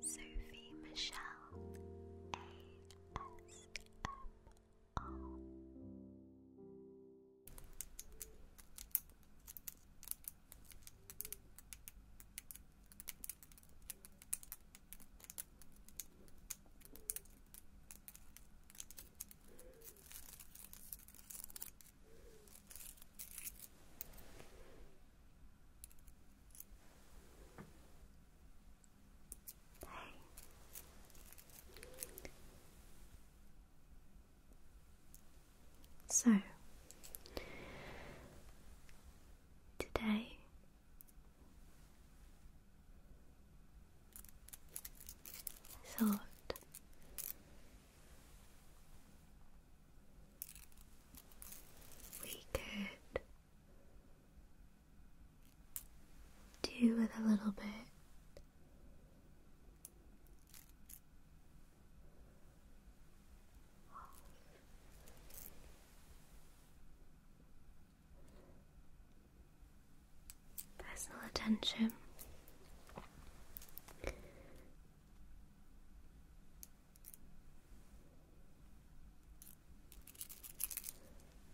Sophie Michelle ASMR. So today thought we could do with a little bit personal attention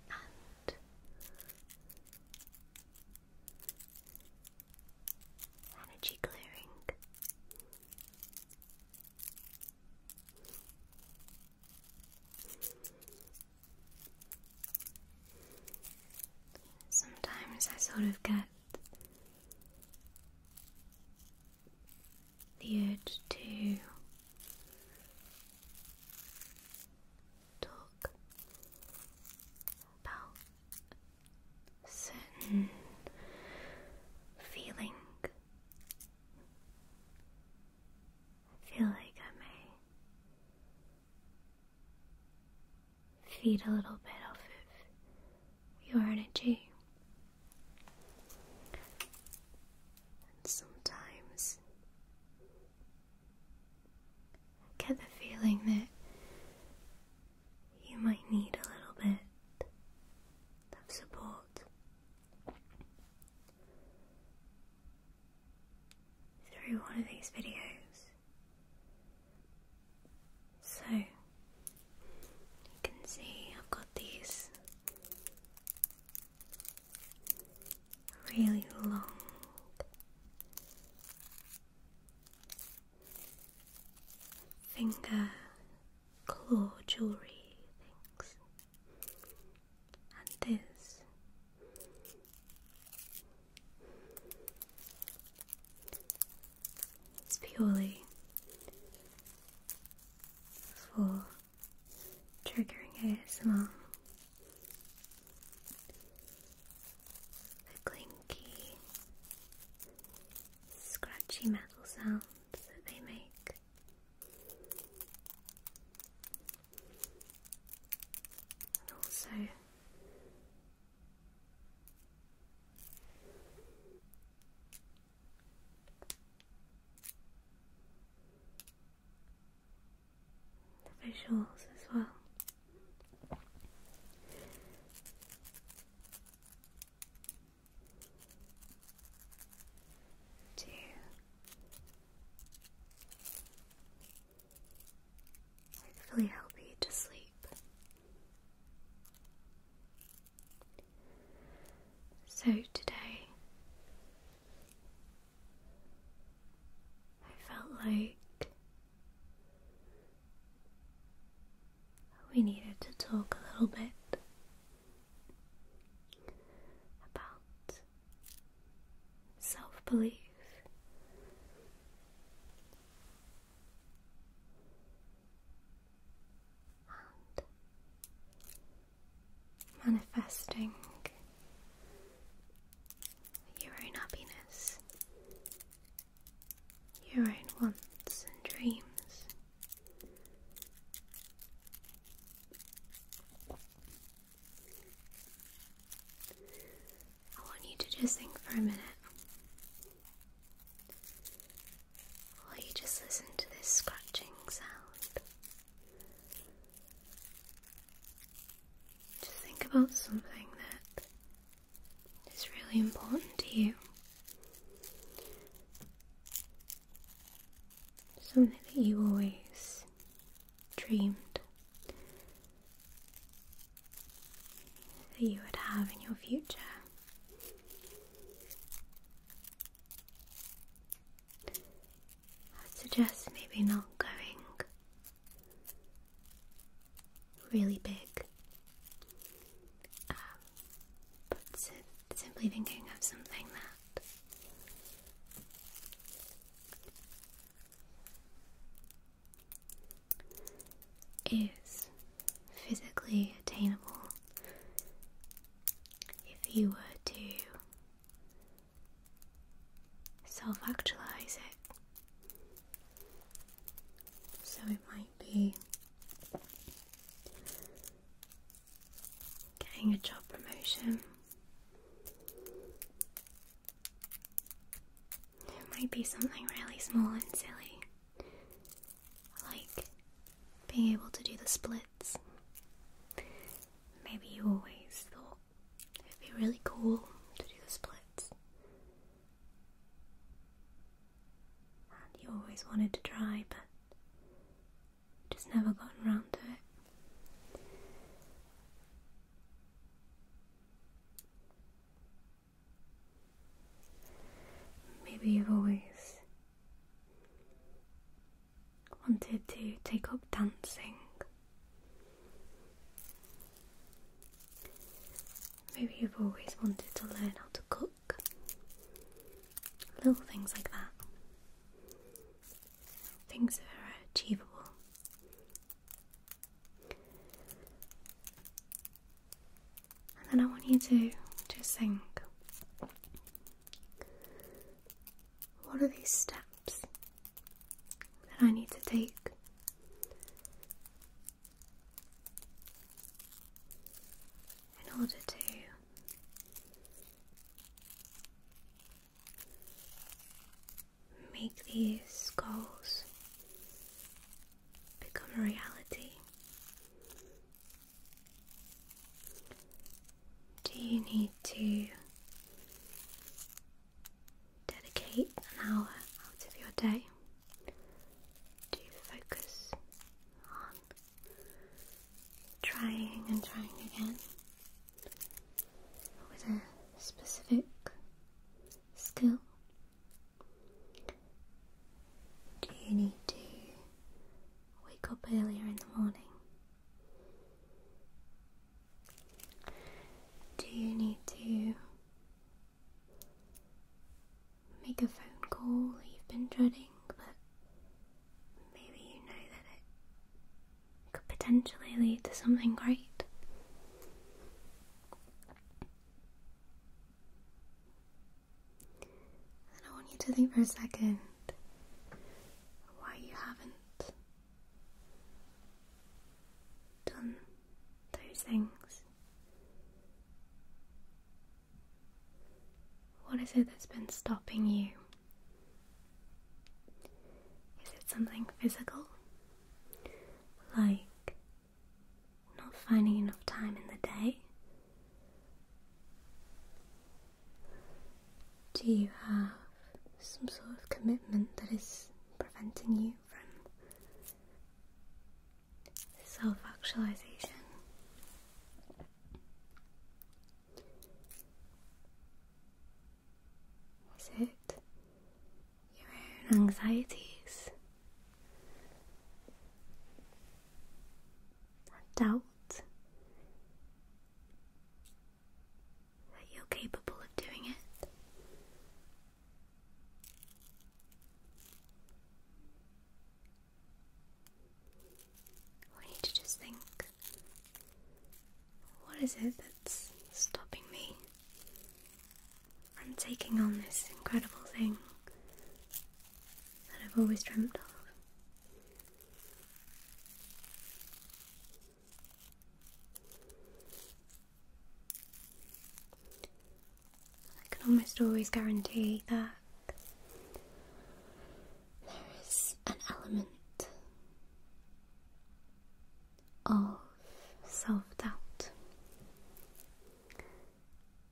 and energy clearing. Sometimes I sort of get the urge to talk about certain feeling. I feel like I may feed a little bit off of your energy. And sometimes get the feeling that you might need a little bit of support through one of these videos. So you can see I've got these really long finger claw jewellery things and this it's purely for triggering ASMR. The clinky, scratchy metal sounds that they make. And also the visuals as well. Two. Hopefully help you to sleep. So today I felt like we needed to talk a little bit about self belief and manifesting your own happiness, your own wants and dreams. I want you to just think for a minute or you just listen to this scratching sound. Just think about something that is really important to you. Something that you always dreamed that you would have in your future i suggest maybe not going really big, um, but simply thinking of something that is physically attainable if you were to self actualize it. So it might be getting a job promotion. It might be something really small and silly like being able to do the splits. Maybe you always thought it'd be really cool to do the splits. And you always wanted to try, but just never gotten around to it. Maybe you've always wanted to take up dancing. Maybe you've always wanted to learn how to cook. Little things like that. Things that are achievable. And then I want you to just think what are these steps that I need to take? In order to make these goals become a reality? Do you need to dedicate an hour out of your day to focus on trying and trying again with a specific skill do you need to wake up earlier in the morning? Do you need to make a phone call you've been dreading, but maybe you know that it could potentially lead to something great? And I want you to think for a second why you haven't done those things. What is it that's been stopping you? Is it something physical? Like not finding enough time in the day? Do you have some sort of commitment that is preventing you from self actualization? Is it your own anxieties? doubt that you're capable of doing it. I need to just think what is it that's stopping me I'm taking on this incredible thing that I've always dreamed of. I can almost always guarantee that there is an element of self doubt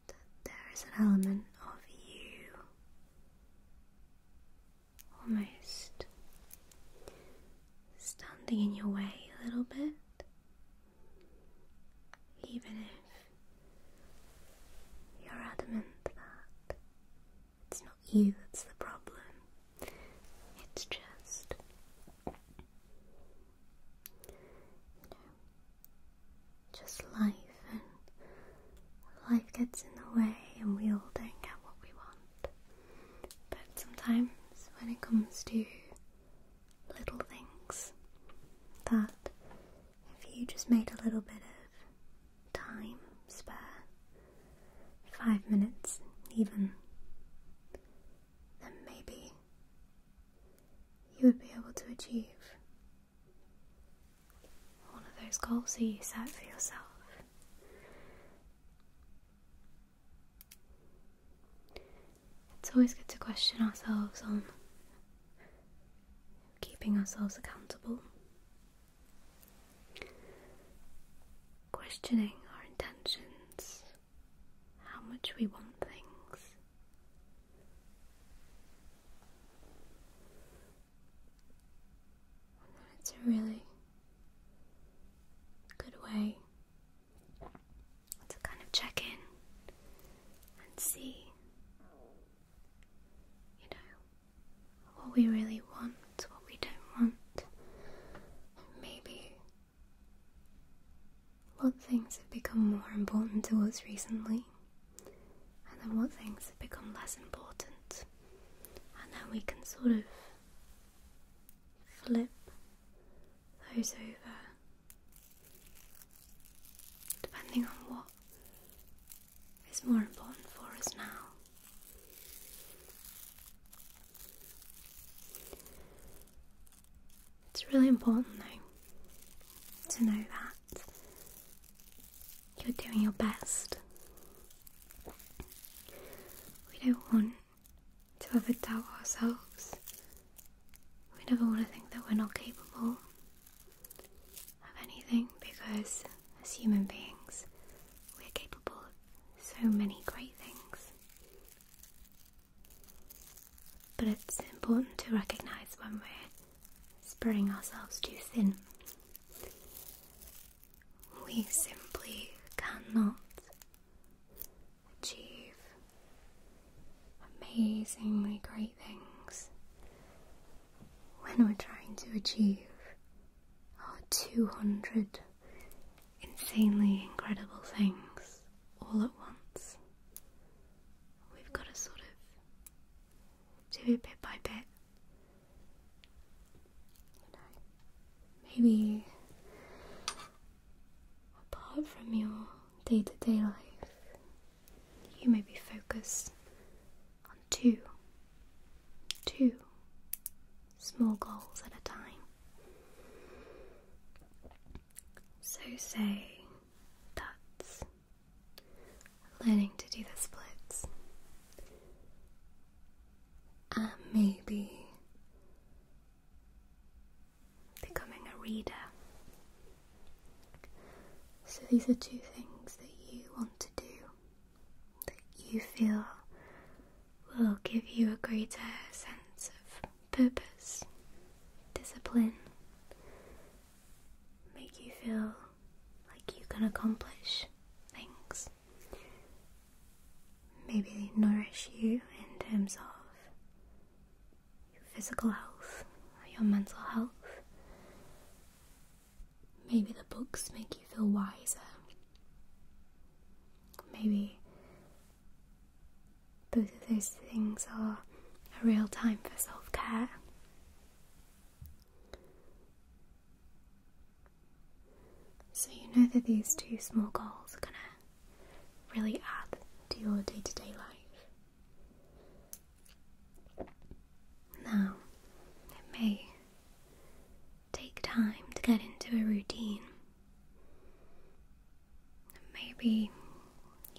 that there is an element of you almost standing in your way a little bit, even if you're adamant that it's not you that's the problem, it's just just life and life gets in the way and we all don't get what we want. But sometimes when it comes to little things that if you just made a little bit of time spare, five minutes even, then maybe you would be able to achieve one of those goals that you set for yourself. It's always good to question ourselves on keeping ourselves accountable, questioning our intentions, how much we want things, it's a really good way to kind of check in and see, you know, what we really want, what we don't want, maybe what things have become more important to us recently, and then what things have become less important, and then we can sort of flip those over depending on what is more important for us now. It's really important though to know that you're doing your best. We don't want to ever doubt ourselves. We never want to think that we're not capable of anything because as human beings, we're capable of so many great things. But it's important to recognise when we're spreading ourselves too thin. We simply cannot achieve amazingly great things when we're trying to achieve our 200 insanely incredible things all at once we've got to sort of do it bit by bit. maybe apart from your day to day life, you may be focused on two, two small goals at a time. So, say dots. Learning to do the splits. And maybe becoming a reader. So these are two things that you want to do that you feel will give you a greater sense of purpose, discipline, make you feel like you can accomplish things. Maybe nourish you in terms of your physical health or your mental health. Maybe the books make you feel wiser. Maybe both of those things are a real time for self care. So, you know that these two small goals are going to really add to your day to day life. Now, it may take time to get into a routine, Maybe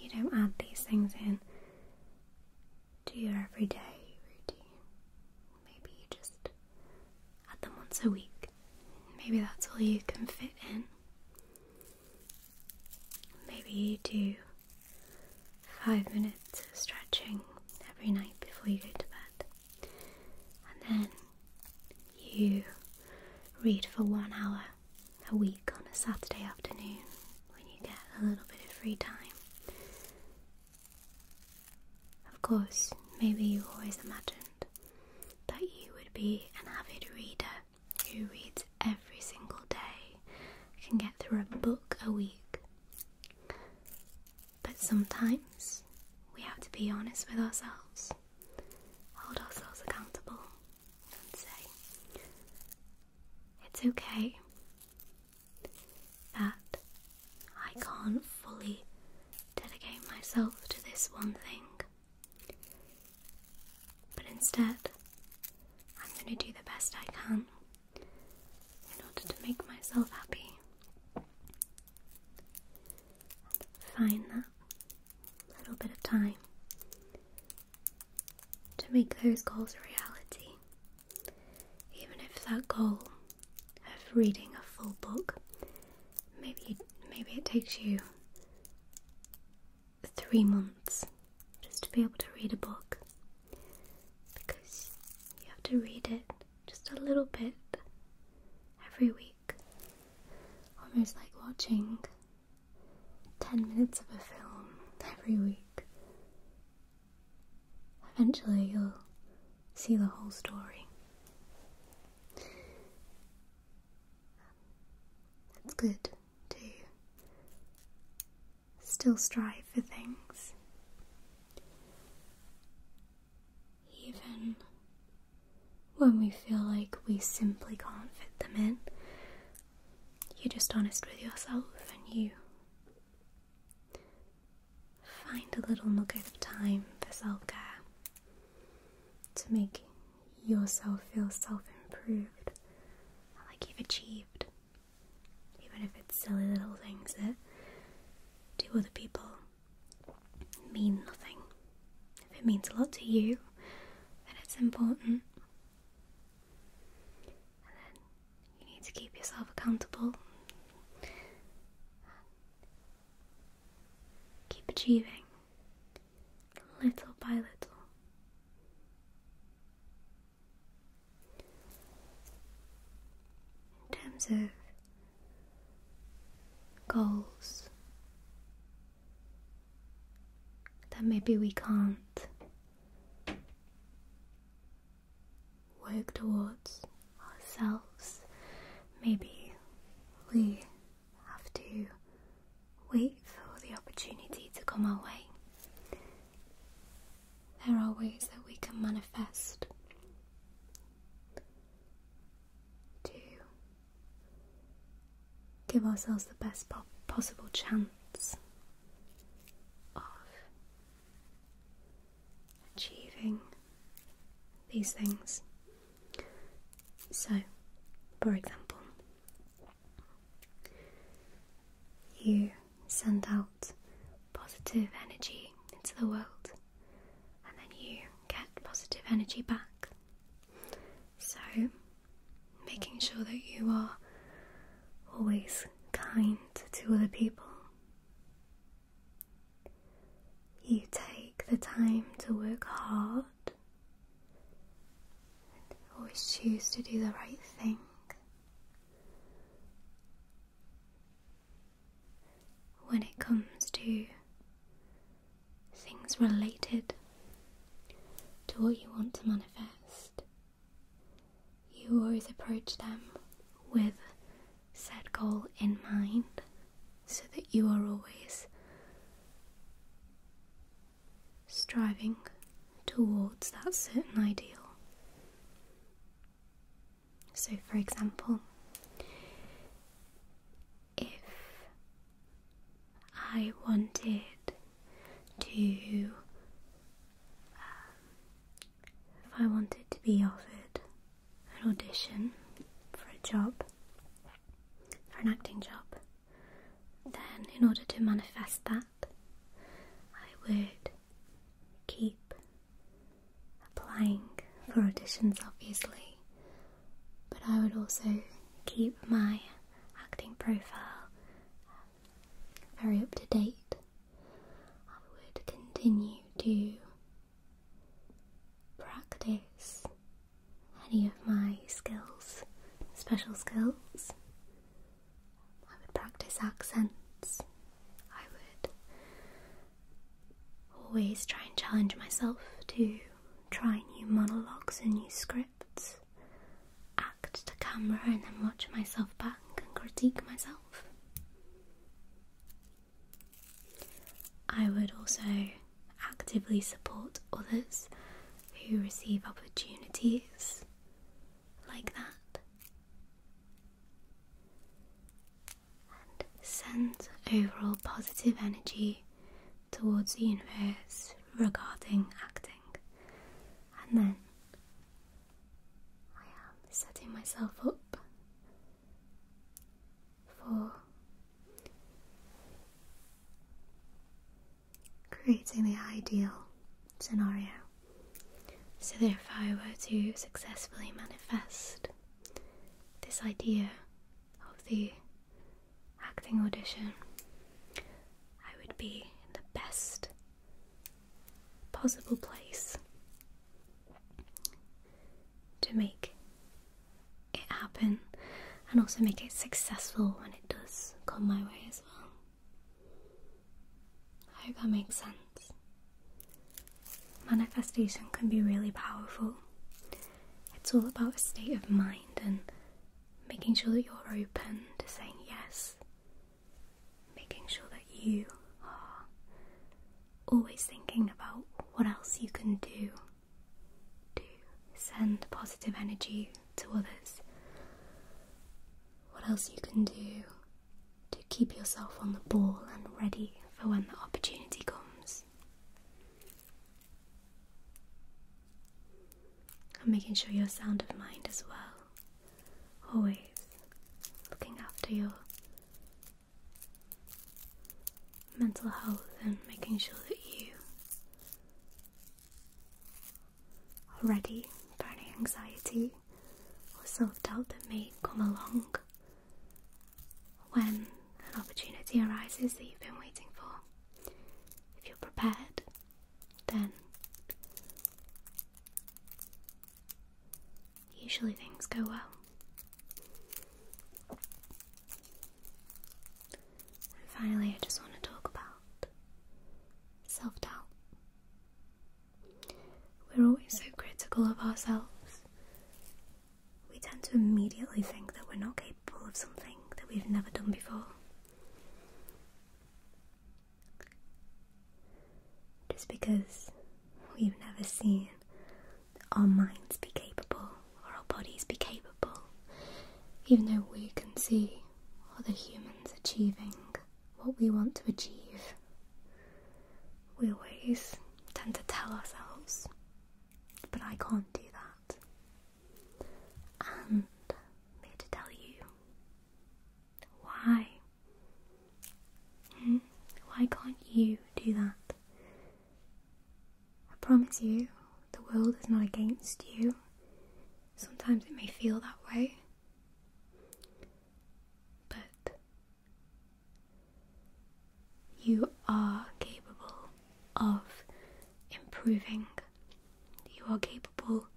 you don't add these things in to your everyday routine. Maybe you just add them once a week. Maybe that's all you can fit in. Maybe you do five minutes of stretching every night before you go to bed. And then you read for one hour a week on a Saturday afternoon when you get a little bit of free time. Of course, maybe you always imagined that you would be an avid reader who reads every single day, can get through a book a week. But sometimes we have to be honest with ourselves, hold ourselves accountable, and say, It's okay that I can't fully dedicate myself to this one thing, but instead, I'm going to do the best I can in order to make myself happy. Find that little bit of time to make those goals a reality. Even if that goal of reading a full book, maybe maybe it takes you three months just to be able to read a book because you have to read it just a little bit every week, almost like watching 10 minutes of a film every week. Eventually, you'll see the whole story. It's good to still strive for things, even when we feel like we simply can't fit them in. You're just honest with yourself and you find a little nugget of time for self care to make yourself feel self improved, like you've achieved, even if it's silly little things that to other people mean nothing. If it means a lot to you, then it's important. And then you need to keep yourself accountable. keep achieving little by little. In terms of goals, that maybe we can't work towards ourselves. Maybe we have to wait for the opportunity to come our way. There are ways that we can manifest to give ourselves the best possible chance of achieving these things. So, for example, you send out positive energy into the world and then you get positive energy back. So, making sure that you are always kind to other people. You take the time to work hard and always choose to do the right thing. When it comes to things related to what you want to manifest, you always approach them with said goal in mind so that you are always striving towards that certain ideal. So, for example, if I wanted to, um, if I wanted to be offered an audition for a job, for an acting job, then in order to manifest that, I would keep applying for auditions, obviously, but I would also keep my acting profile um, very up to date. I would continue to practice any of my skills, special skills. I would practice accents. I would always try and challenge myself to try new monologues and new scripts act to camera and then watch myself back and critique myself. I would also actively support others who receive opportunities like that and send overall positive energy towards the universe regarding acting. And then I am setting myself up for creating the ideal scenario so that if I were to successfully manifest this idea of the acting audition, I would be in the best possible place to make it happen and also make it successful when it does come my way as well. I hope that makes sense. Manifestation can be really powerful. It's all about a state of mind and making sure that you're open to saying yes, making sure that you are always thinking about what else you can do to send positive energy to others, what else you can do to keep yourself on the ball and ready for when the opportunity comes. I'm making sure you're sound of mind as well. Always looking after your mental health and making sure that you are ready for any anxiety or self doubt that may come along when an opportunity arises that you've been waiting for. If you're prepared, then usually things go well. finally, I just want to talk about self doubt. We're always so critical of ourselves. We tend to immediately think that we're not capable of something that we've never done before. Just because we've never seen our minds be capable or our bodies be capable, even though we can see other humans achieving what we want to achieve, we always tend to tell ourselves, but I can't do that and me to tell you why. Hmm? Why can't you do that? I promise you, the world is not against you. Sometimes it may feel that way. But you are capable of improving. You are capable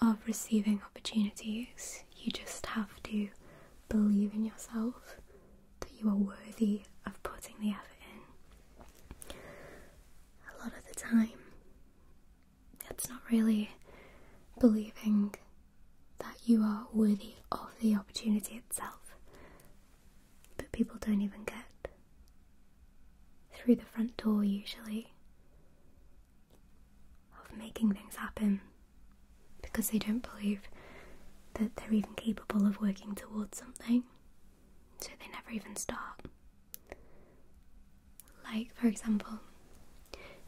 of receiving opportunities. You just have to believe in yourself that you are worthy of putting the effort in. A lot of the time, it's not really believing that you are worthy of the opportunity itself but people don't even get through the front door usually of making things happen because they don't believe that they're even capable of working towards something, so they never even start. Like, for example,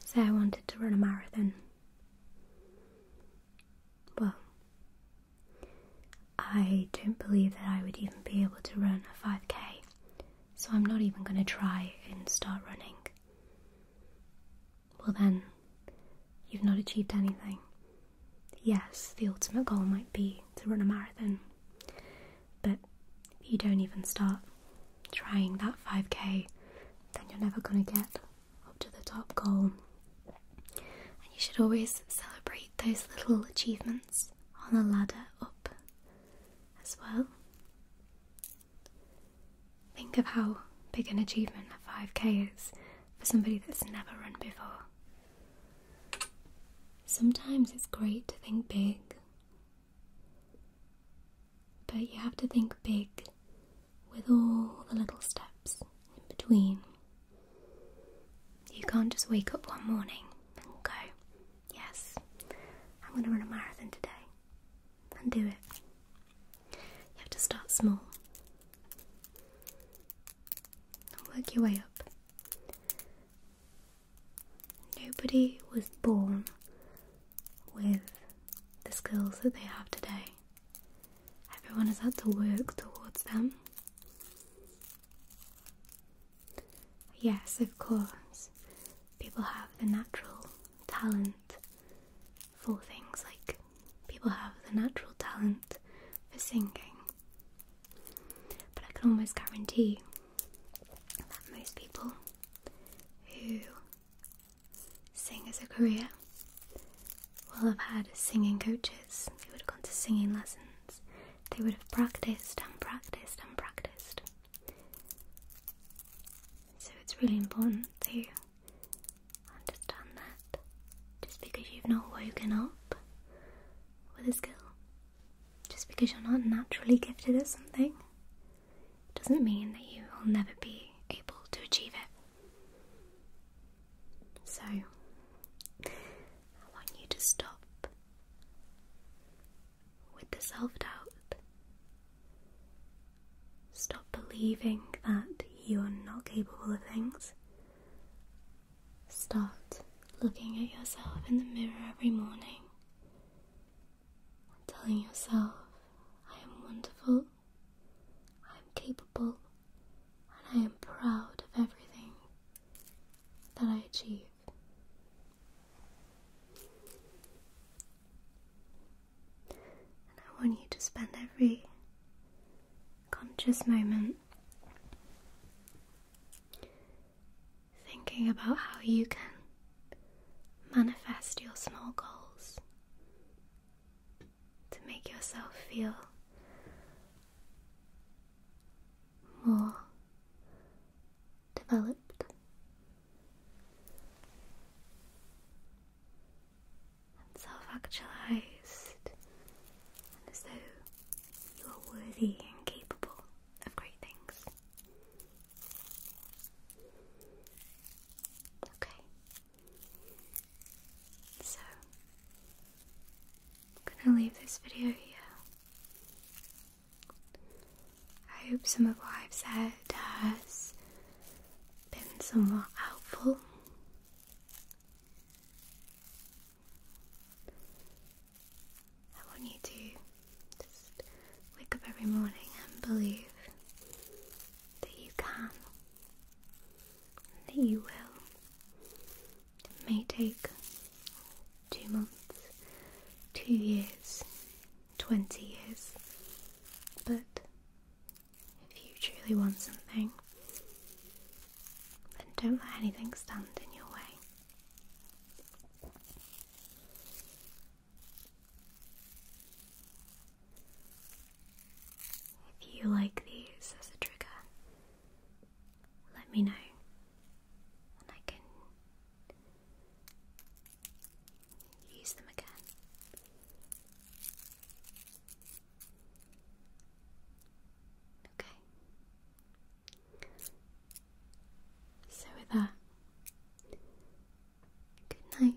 say I wanted to run a marathon. Well, I don't believe that I would even be able to run a 5k, so I'm not even going to try and start running. Well, then, you've not achieved anything. Yes, the ultimate goal might be to run a marathon, but if you don't even start trying that 5k, then you're never going to get up to the top goal and you should always celebrate those little achievements on the ladder up as well. Think of how big an achievement a 5k is for somebody that's never run before. Sometimes it's great to think big, but you have to think big with all the little steps in between. You can't just wake up one morning and go, Yes, I'm going to run a marathon today, and do it. You have to start small and work your way up. Nobody was born with the skills that they have today. Everyone has had to work towards them Yes, of course. People have the natural talent for things like people have the natural talent for singing. But I can almost guarantee that most people who sing as a career will have had singing coaches they would have gone to singing lessons. They would have practiced and practiced and practiced. So it's really important to understand that just because you've not woken up with a skill, just because you're not naturally gifted at something, doesn't mean that you will never be able to achieve it. So, I want you to stop with the self doubt. Stop believing that you are not capable of things. Start looking at yourself in the mirror every morning telling yourself, I am wonderful, I am capable and I am proud of everything that I achieve. And I want you to spend every conscious moment thinking about how you can manifest your small goals to make yourself feel more developed. And self actualized, and as though you are worthy and capable of great things. Okay, so I'm gonna leave this video here. I hope some of what I've said does, been somewhat helpful. I want you to just wake up every morning and believe that you can, that you will, it may take two months, two years, 20 years, but if you truly want something, then don't let anything stand in your way. If you like these as a trigger, let me know, and I can use them again. Okay. So with that, good night.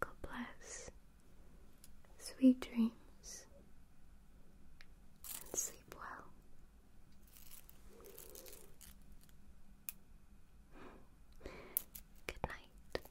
God bless. Sweet dreams and sleep well. Good night.